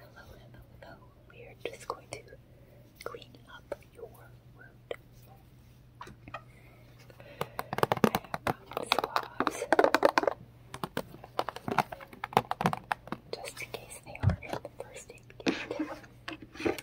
Hello, hello, hello. We are just going to clean up your wound. I have swabs just in case they aren't in the first aid kit.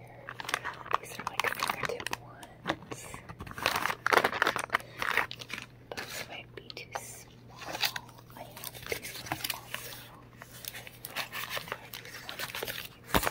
here. These are like fingertip ones. Those might be too small. I have these ones also. These one of these.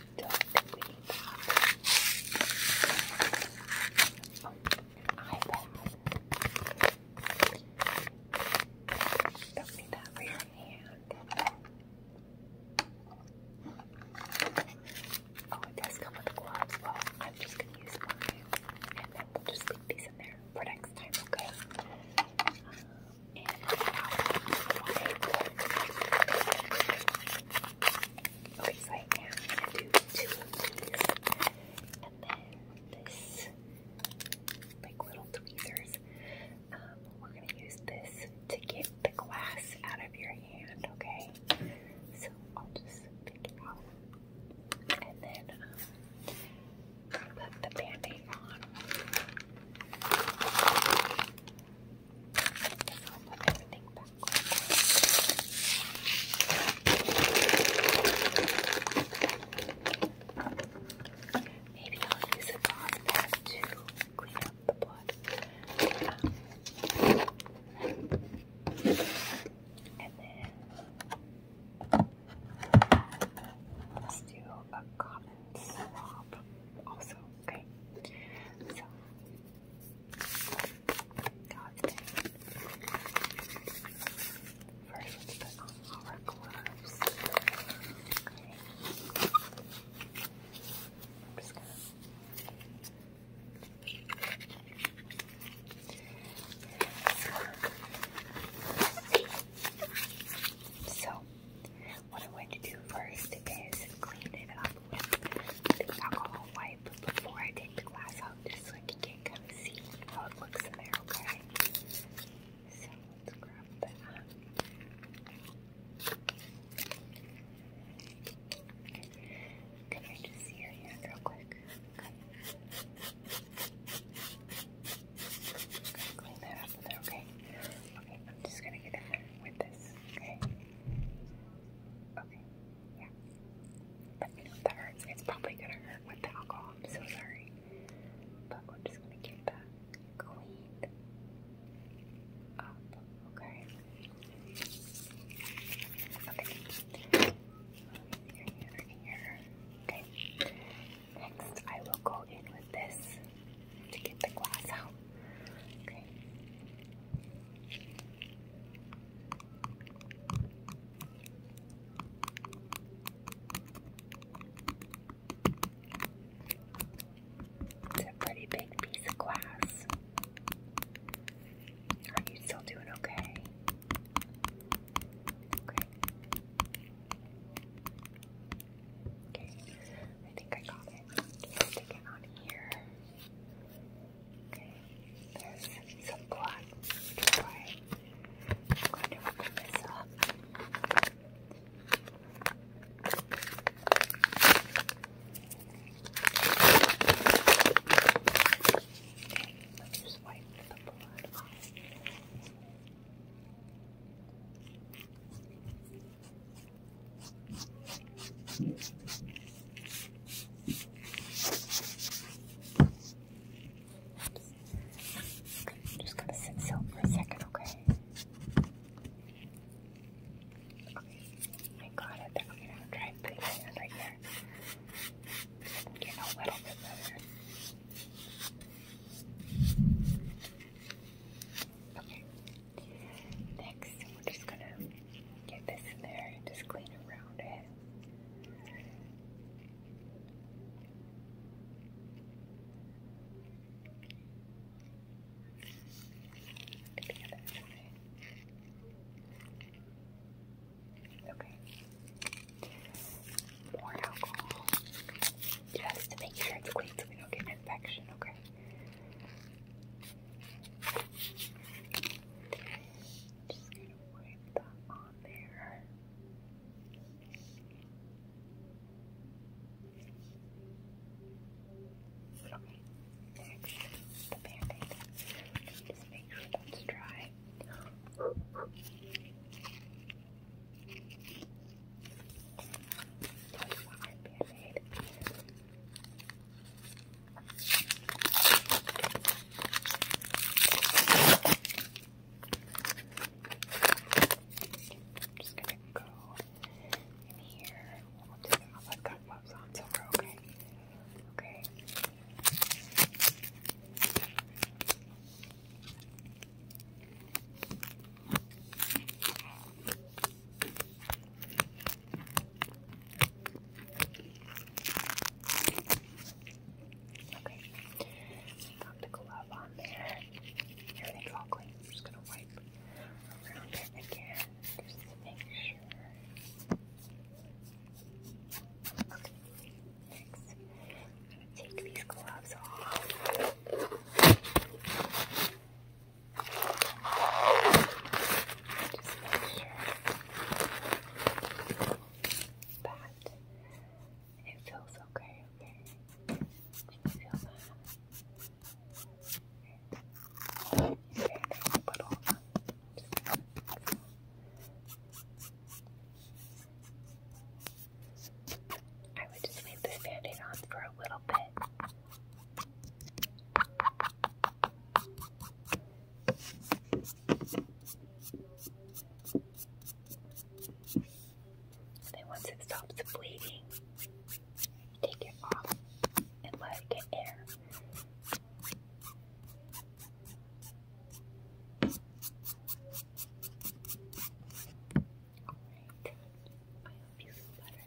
dark Don't need that for your hand. Oh, it does come with gloves. Well, I'm just gonna use mine, and then we'll just leave these in there for next time, okay. Um, Okay, so I'm gonna do two of these, and then this, like little tweezers. Um, we're gonna use this to get the glass out of your hand. Okay, so I'll just pick it out, and then um, put the band-aid on. I'll Maybe I'll use a cloth pad to clean up the blood. and then let's do a common swab also, okay? God dang First, put on our gloves. So, what I'm going to do first is clean it up the alcohol wipe before I take the glass out just so I can get see how it looks in there, okay? So let's grab that. Can just see real quick? clean that up okay? Okay, I'm just gonna get in there with this, okay? Okay. Yeah. But you know, that hurts. It's probably gonna hurt with the alcohol. I'm so sorry. But we're just gonna get that cleaned up. Okay. Okay. Here, Okay. Next, I will go in with this to get the glass out. Okay. It's a pretty big piece of glass. Are you still doing okay? Okay. Okay. I think I got it. Stick it on here there's some black, I'm going to open this up. let's just wipe the blood off. Okay, I'm just gonna sit still for a second, okay? Okay, I got it. I'm gonna try and my hand right here. Get a little bit better. Okay, Next, we're just gonna get this in there and just clean around it. okay. More alcohol. Just to make sure it's clean so we don't get infection, okay? Just gonna wipe that on there. Okay, next, the band Just make sure that's dry. That's my band I'm just gonna go in here. We'll do them. I've got gloves on, so we're okay. Okay. Okay. Got the glove on there. Everything's all clean. I'm just gonna wipe around it again just to make sure. Okay. Next, I'm gonna take these gloves off. Just make sure that it feels okay, okay? feel that? Okay. you but hold I would just leave this standing aid on for a little bit then once it stops bleeding, take it off and let it get air. I hope you feel better.